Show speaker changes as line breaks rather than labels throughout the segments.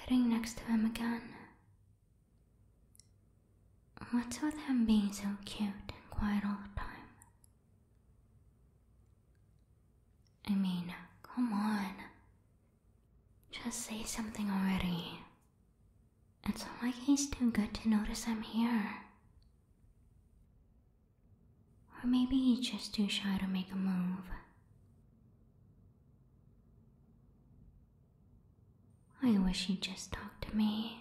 Sitting next to him again. What's with him being so cute and quiet all the time? I mean, come on. Just say something already. It's like he's too good to notice I'm here. Or maybe he's just too shy to make a move. I wish he'd just talk to me.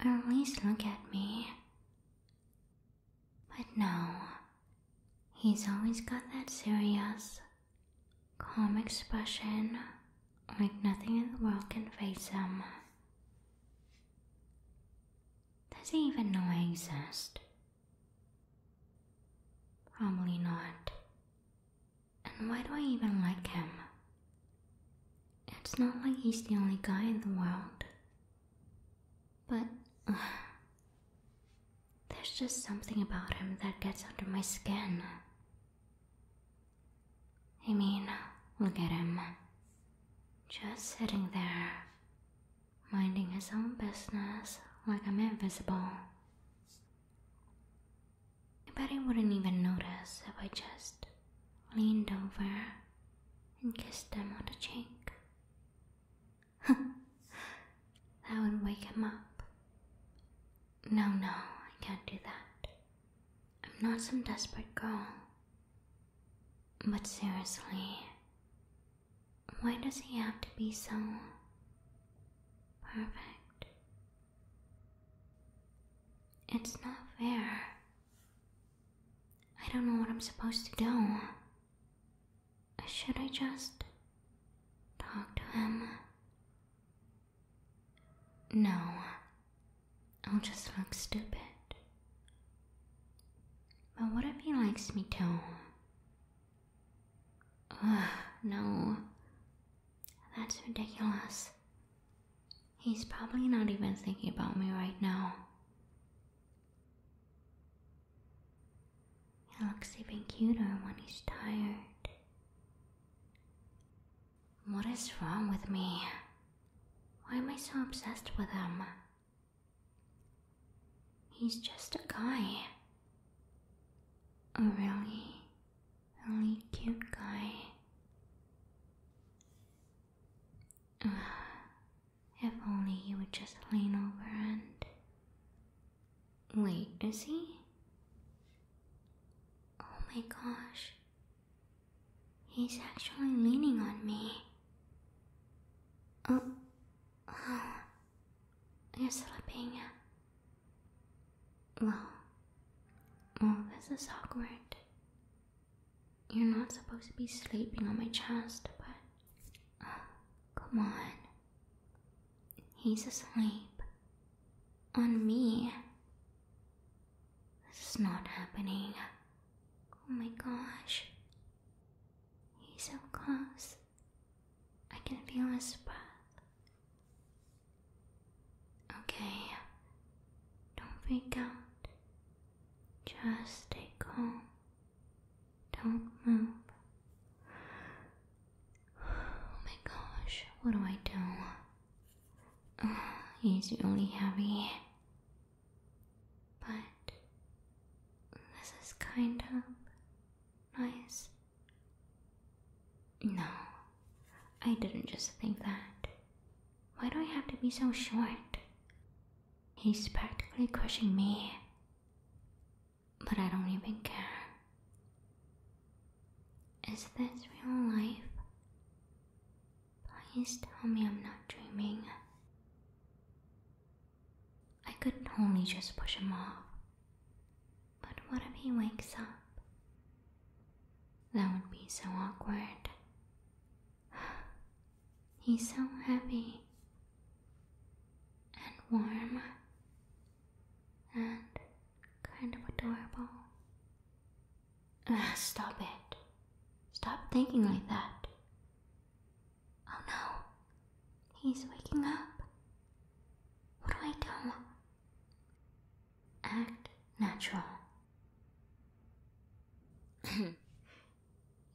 at least look at me. But no, he's always got that serious, calm expression like nothing in the world can face him. Does he even know I exist? Probably not. And why do I even like him? It's not like he's the only guy in the world. But there's just something about him that gets under my skin. I mean, look at him. Just sitting there, minding his own business like I'm invisible. I bet he wouldn't even notice if I just leaned over and kissed him on the cheek. that would wake him up. No, no, I can't do that. I'm not some desperate girl. But seriously, why does he have to be so perfect? It's not fair. I don't know what I'm supposed to do. Should I just talk to him? No, I'll just look stupid. But what if he likes me too? no. That's ridiculous. He's probably not even thinking about me right now. He looks even cuter when he's tired. What is wrong with me? Why am I so obsessed with him? He's just a guy. A really, really cute guy. if only he would just lean over and. Wait, is he? Oh my gosh. He's actually leaning on me. Oh, oh. You're slipping. Well, well, this is awkward. You're not supposed to be sleeping on my chest, but. Oh, come on. He's asleep. On me. This is not happening. Oh my gosh. He's so close. I can feel his breath. Okay. Don't freak out. Just stay calm. Don't move. Oh my gosh, what do I do? He's uh, really heavy. But this is kind of nice. No, I didn't just think that. Why do I have to be so short? He's practically crushing me. But I don't even care. Is this real life? Please tell me I'm not dreaming. I could only just push him off. But what if he wakes up? That would be so awkward. He's so heavy and warm and kind of adorable. Uh, stop it. Stop thinking like that. Oh no. He's waking up. What do I do? Act natural.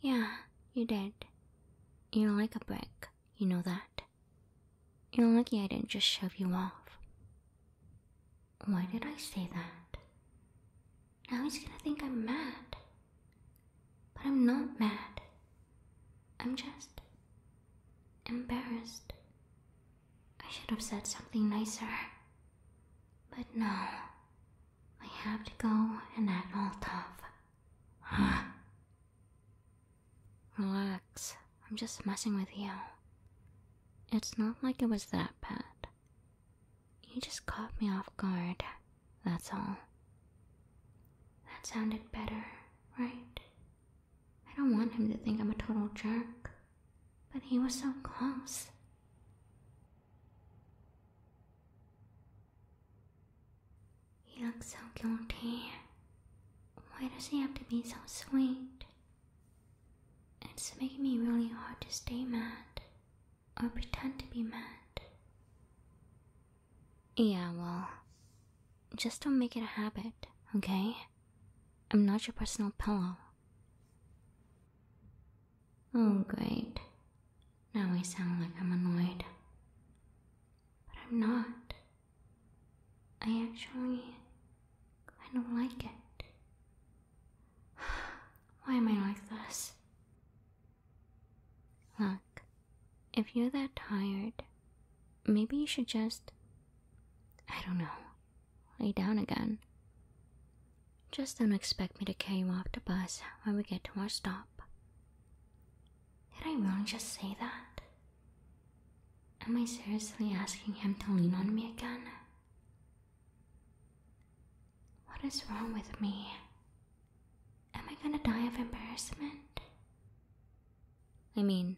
yeah, you did. You're like a brick, you know that. You're lucky I didn't just shove you off. Why did I say that? Now he's gonna think I'm mad. But I'm not mad. I'm just embarrassed. I should have said something nicer. But no, I have to go and act all tough. Huh? Relax, I'm just messing with you. It's not like it was that bad. He just caught me off guard, that's all. That sounded better, right? I don't want him to think I'm a total jerk, but he was so close. He looks so guilty. Why does he have to be so sweet? It's making me really hard to stay mad or pretend to be mad. Yeah, well, just don't make it a habit, okay? I'm not your personal pillow. Oh, great. Now I sound like I'm annoyed. But I'm not. I actually I don't like it. Why am I like this? Look, if you're that tired, maybe you should just, I don't know, lay down again. Just don't expect me to carry you off the bus when we get to our stop. Did I really just say that? Am I seriously asking him to lean on me again? What is wrong with me? Am I gonna die of embarrassment? I mean,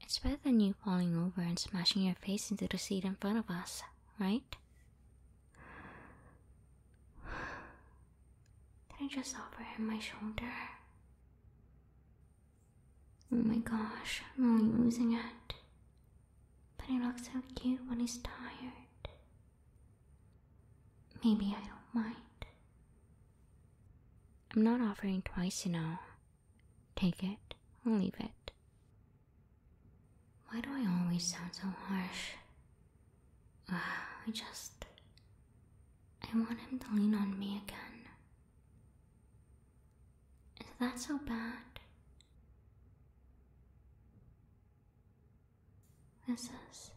it's better than you falling over and smashing your face into the seat in front of us, right? Did I just offer him my shoulder? Oh my gosh, I'm really losing it. But he looks so cute when he's tired. Maybe I don't mind. I'm not offering twice, you know. Take it or leave it. Why do I always sound so harsh? I just. I want him to lean on me again. Is that so bad? This is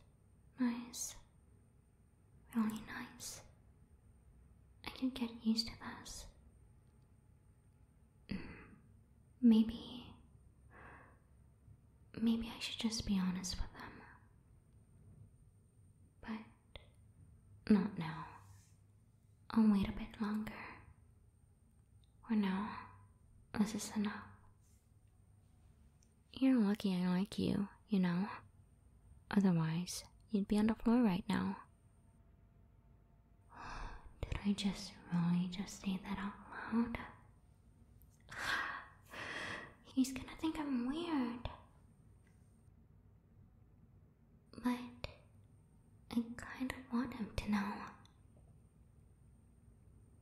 nice. Really nice. I can get used to this. Mm. maybe. Maybe I should just be honest with them. But not now. I'll wait a bit longer. Or no, this is enough. You're lucky I like you, you know. Otherwise, you'd be on the floor right now. Did I just really just say that out loud? He's gonna think I'm weird. But I kind of want him to know.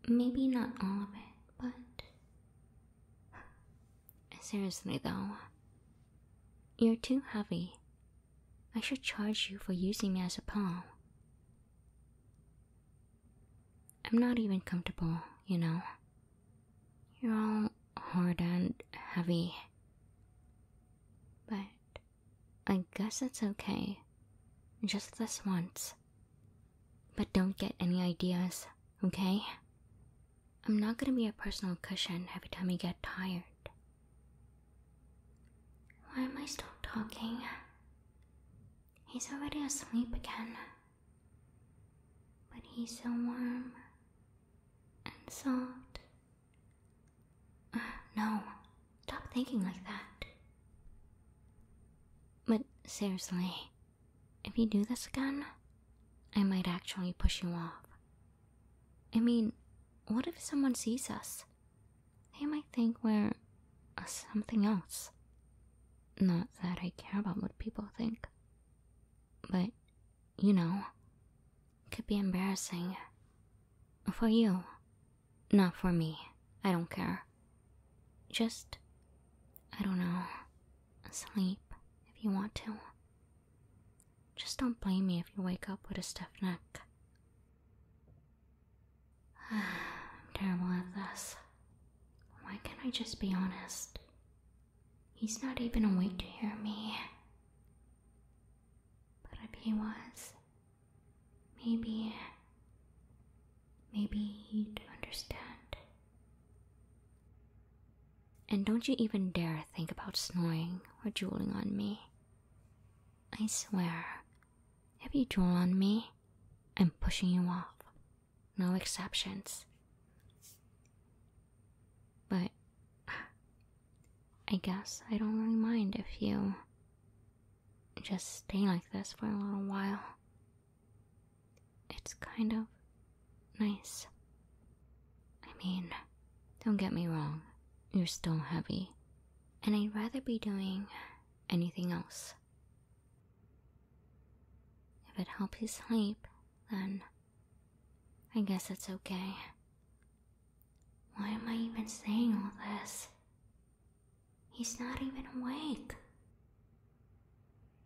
Maybe not all of it, but. Seriously, though, you're too heavy. I should charge you for using me as a pawn. I'm not even comfortable, you know. You're all hard and heavy. But I guess it's okay. Just this once. But don't get any ideas, okay? I'm not gonna be a personal cushion every time you get tired. Why am I still talking? He's already asleep again. But he's so warm and soft No, stop thinking like that. But seriously, if you do this again, I might actually push you off. I mean, what if someone sees us? They might think we're something else. Not that I care about what people think, but you know, could be embarrassing. For you. Not for me. I don't care. Just, I don't know, sleep if you want to. Just don't blame me if you wake up with a stiff neck. I'm terrible at this. Why can't I just be honest? He's not even awake to hear me. But if he was, maybe. maybe he'd understand. And don't you even dare think about snoring or drooling on me. I swear, if you drool on me, I'm pushing you off. No exceptions. But I guess I don't really mind if you just stay like this for a little while. It's kind of nice. I mean, don't get me wrong, you're still heavy, and I'd rather be doing anything else. If it helps you sleep, then I guess it's okay. Why am I even saying all this? He's not even awake.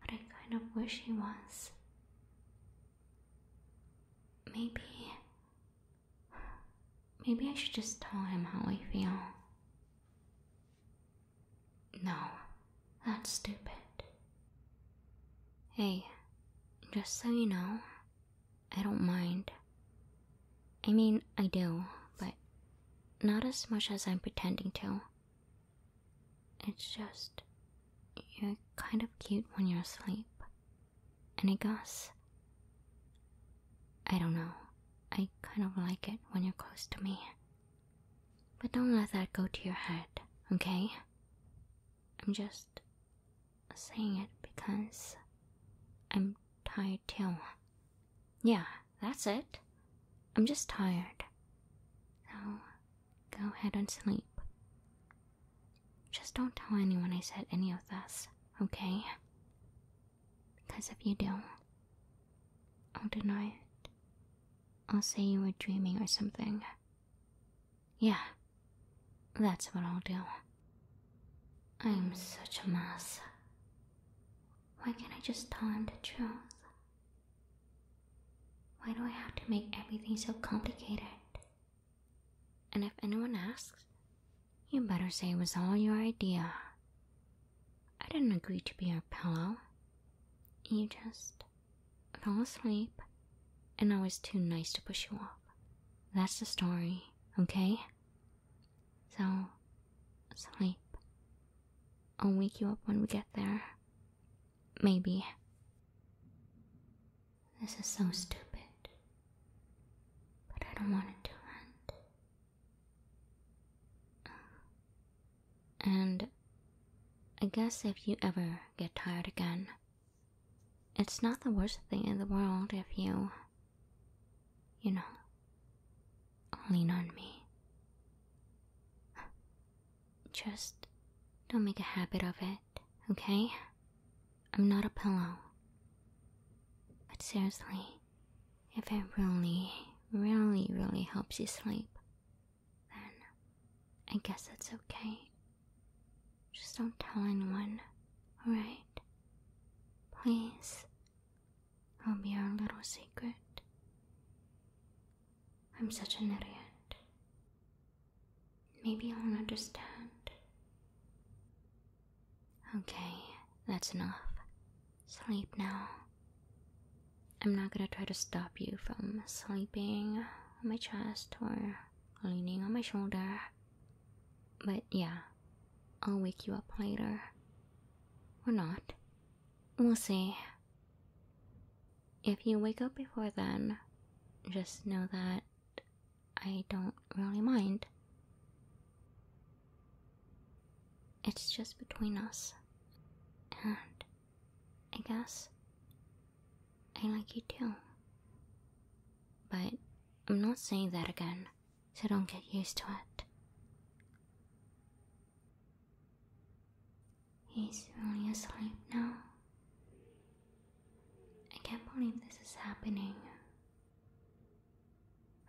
But I kind of wish he was. Maybe. Maybe I should just tell him how I feel. No, that's stupid. Hey, just so you know, I don't mind. I mean, I do, but not as much as I'm pretending to. It's just, you're kind of cute when you're asleep. And I guess, I don't know, I kind of like it when you're close to me. But don't let that go to your head, okay? I'm just saying it because I'm tired too. Yeah, that's it. I'm just tired. So go ahead and sleep. Just don't tell anyone I said any of this, okay? Because if you do, I'll deny it. I'll say you were dreaming or something. Yeah, that's what I'll do. I'm such a mess. Why can't I just tell him the truth? Why do I have to make everything so complicated? And if anyone asks, you better say it was all your idea. I didn't agree to be your pillow. You just fell asleep, and I was too nice to push you off. That's the story, okay? So, sleep. I'll wake you up when we get there. Maybe. This is so stupid, but I don't want it to end. And I guess if you ever get tired again, it's not the worst thing in the world if you, you know, lean on me. Just don't make a habit of it, okay? I'm not a pillow. But seriously, if it really, really, really helps you sleep, then I guess it's okay. Just don't tell anyone, alright? Please. I'll be our little secret. I'm such an idiot. Maybe I'll understand. Okay, that's enough. Sleep now. I'm not gonna try to stop you from sleeping on my chest or leaning on my shoulder. But yeah, I'll wake you up later. Or not. We'll see. If you wake up before then, just know that I don't really mind. It's just between us. And I guess. I like you too. But I'm not saying that again, so don't get used to it. He's really asleep now. I can't believe this is happening.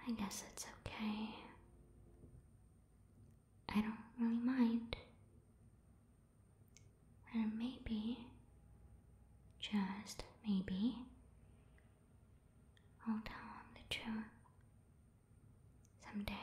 I guess it's okay. I don't really mind. And maybe, just maybe, I'll tell him the truth someday.